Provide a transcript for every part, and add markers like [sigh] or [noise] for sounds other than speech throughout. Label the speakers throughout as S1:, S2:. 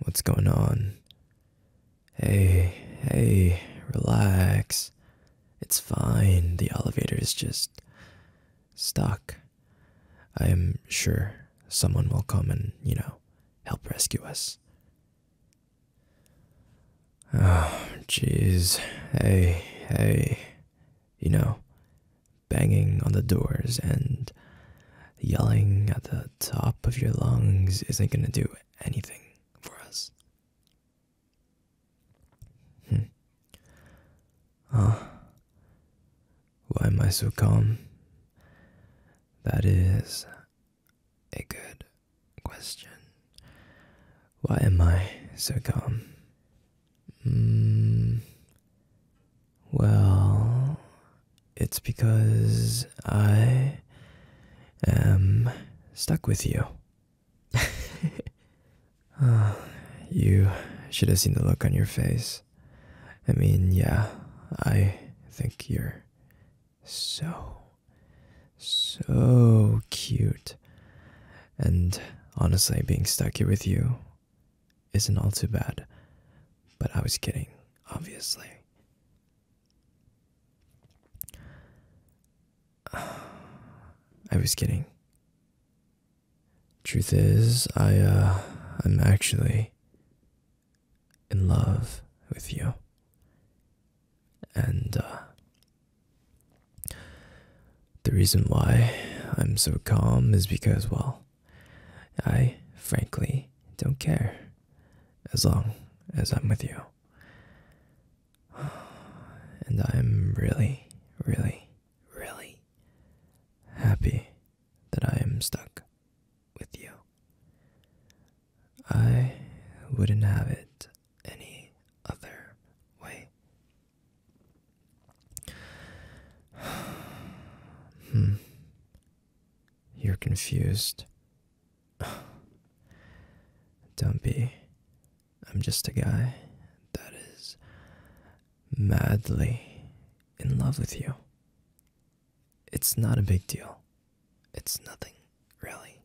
S1: What's going on? Hey, hey, relax. It's fine. The elevator is just stuck. I am sure someone will come and, you know, help rescue us. Oh, jeez. Hey, hey. You know, banging on the doors and yelling at the top of your lungs isn't going to do anything for us. Hmm. Ah. Why am I so calm? That is a good question. Why am I so calm? Hmm. Well, it's because I am stuck with you. [laughs] Ah, you should have seen the look on your face. I mean, yeah, I think you're so, so cute. And honestly, being stuck here with you isn't all too bad. But I was kidding, obviously. [sighs] I was kidding. Truth is, I uh I'm actually in love with you. And uh the reason why I'm so calm is because well I, frankly, don't care. As long as I'm with you. [sighs] And I'm really, really, really happy that I am stuck with you. I wouldn't have it any other way hmm. You're confused. [sighs] Don't be. I'm just a guy that is madly in love with you. It's not a big deal. It's nothing, really.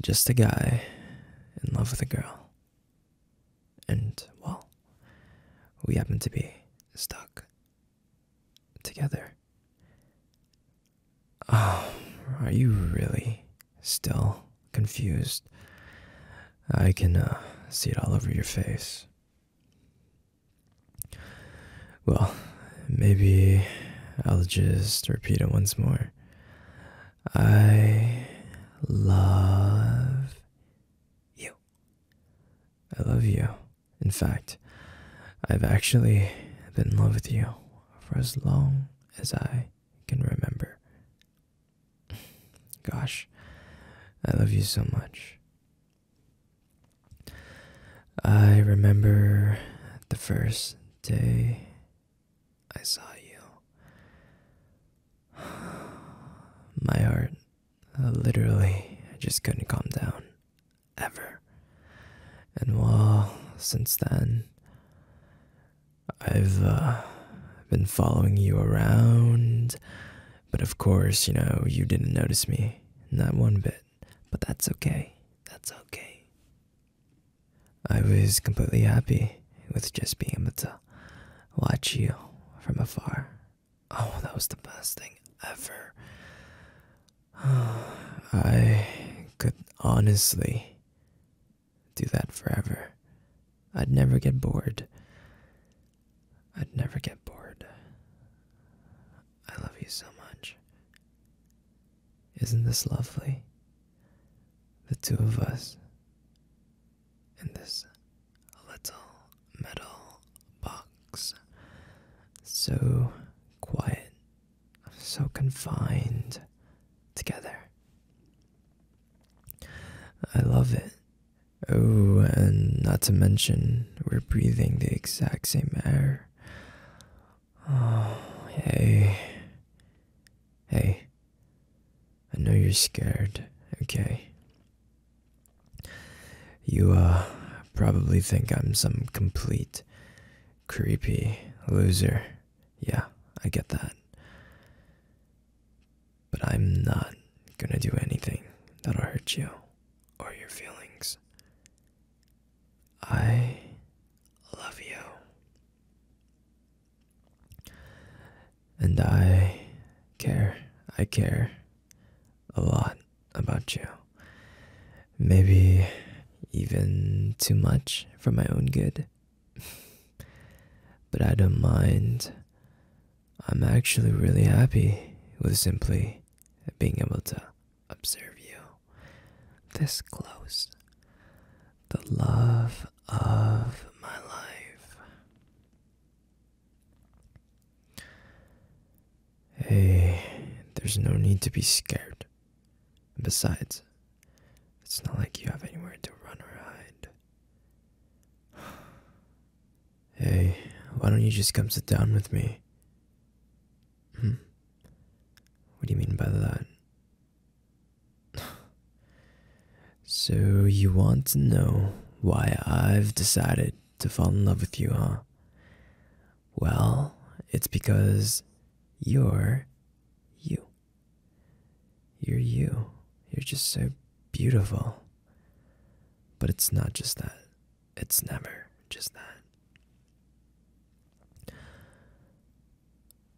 S1: Just a guy in love with a girl. And, well, we happen to be stuck together. Oh, are you really still confused? I can uh, see it all over your face. Well, maybe I'll just repeat it once more. I love you. I love you. In fact, I've actually been in love with you for as long as I can remember. [sighs] Gosh, I love you so much. I remember the first day I saw you. [sighs] My heart, uh, literally, I just couldn't calm down. Ever. And well, since then, I've uh, been following you around. But of course, you know, you didn't notice me. Not one bit. But that's okay. That's okay. I was completely happy with just being able to watch you from afar. Oh, that was the best thing ever. [sighs] I could honestly do that forever. I'd never get bored. I'd never get bored. I love you so much. Isn't this lovely? the two of us in this little metal box. So quiet, so confined together. I love it. Oh, and not to mention, we're breathing the exact same air. Oh, hey. Hey. I know you're scared, okay? You, uh, probably think I'm some complete creepy loser. Yeah, I get that. But I'm not gonna do anything that'll hurt you or your feelings. I love you. And I care, I care a lot about you. Maybe even too much for my own good. [laughs] but I don't mind. I'm actually really happy with simply being able to observe you this close the love of my life. Hey, there's no need to be scared. Besides, it's not like you have anywhere to run or hide. Hey, why don't you just come sit down with me? Hmm? What do you mean by that? [laughs] so, you want to know why I've decided to fall in love with you, huh? Well, it's because you're you. You're you. You're just so beautiful. But it's not just that. It's never just that.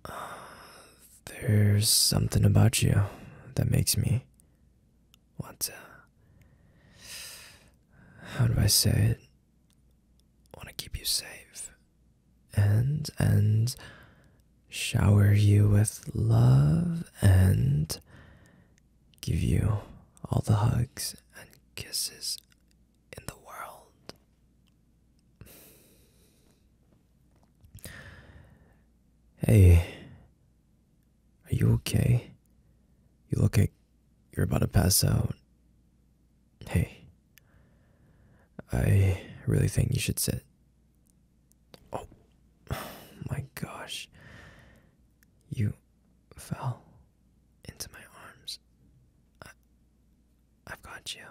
S1: [sighs] there's something about you that makes me. want to. how do I say it? I want to keep you safe and and shower you with love and give you all the hugs and kisses in the world. Hey, are you okay? You look like you're about to pass out. Hey, I really think you should sit. Oh, [sighs] my gosh. You fell into my arms. I, have got you.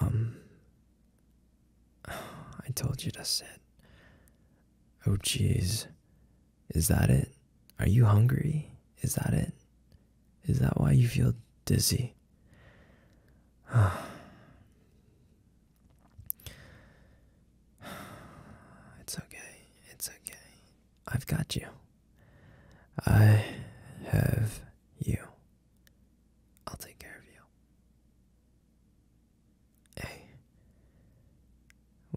S1: Um, [sighs] I told you to sit. Oh, jeez. Is that it? Are you hungry? Is that it? Is that why you feel dizzy? [sighs] it's okay. It's okay. I've got you. I have you. I'll take care of you. Hey,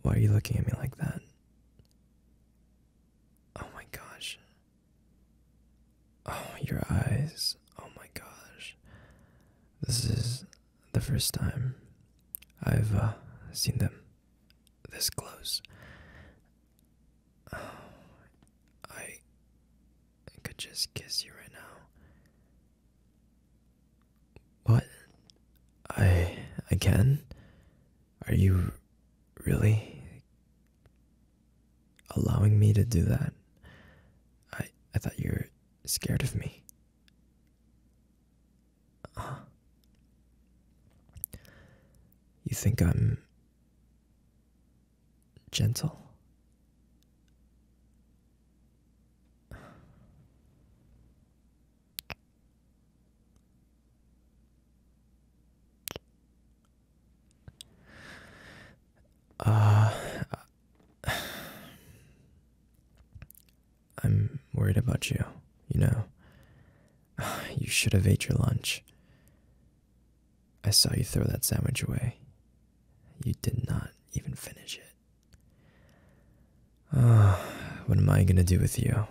S1: why are you looking at me like that? Oh my gosh. Oh, your eyes. Oh my gosh. This is the first time I've uh, seen them this close. Oh, I, I could just kiss you right now. What? I I can? Are you really allowing me to do that? I I thought you were scared of me you think I'm gentle? Uh, I'm worried about you, you know. [sighs] You should have ate your lunch. I saw you throw that sandwich away. You did not even finish it. Ah, [sighs] what am I gonna do with you?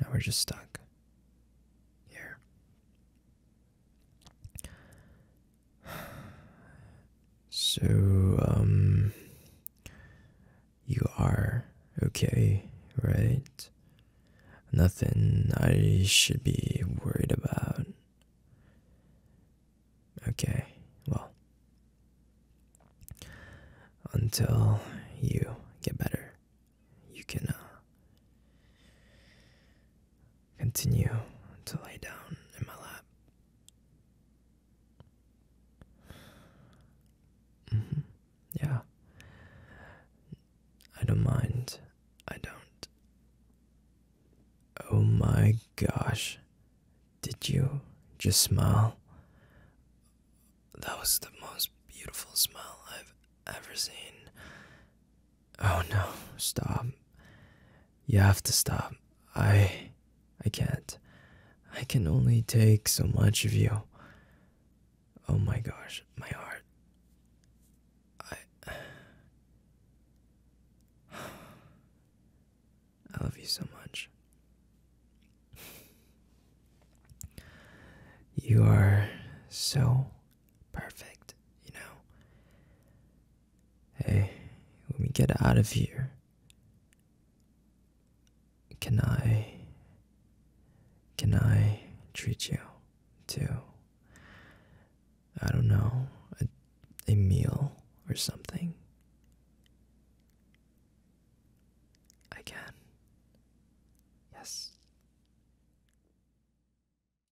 S1: Now we're just stuck. Here. So, um, you are okay, right? Nothing I should be worried about. Okay, well, until you get better, you can uh, continue to lay down in my lap. Mm-hmm. Yeah. I don't mind. I don't. Oh my gosh. Did you just smile? That was the most beautiful smile I've ever seen. Oh no, stop. You have to stop. I I can't. I can only take so much of you. Oh my gosh, my heart. I [sighs] I love you so much. You are so perfect, you know. Hey, let me get out of here, can I. Can I treat you to, I don't know, a, a meal or something? I can. Yes.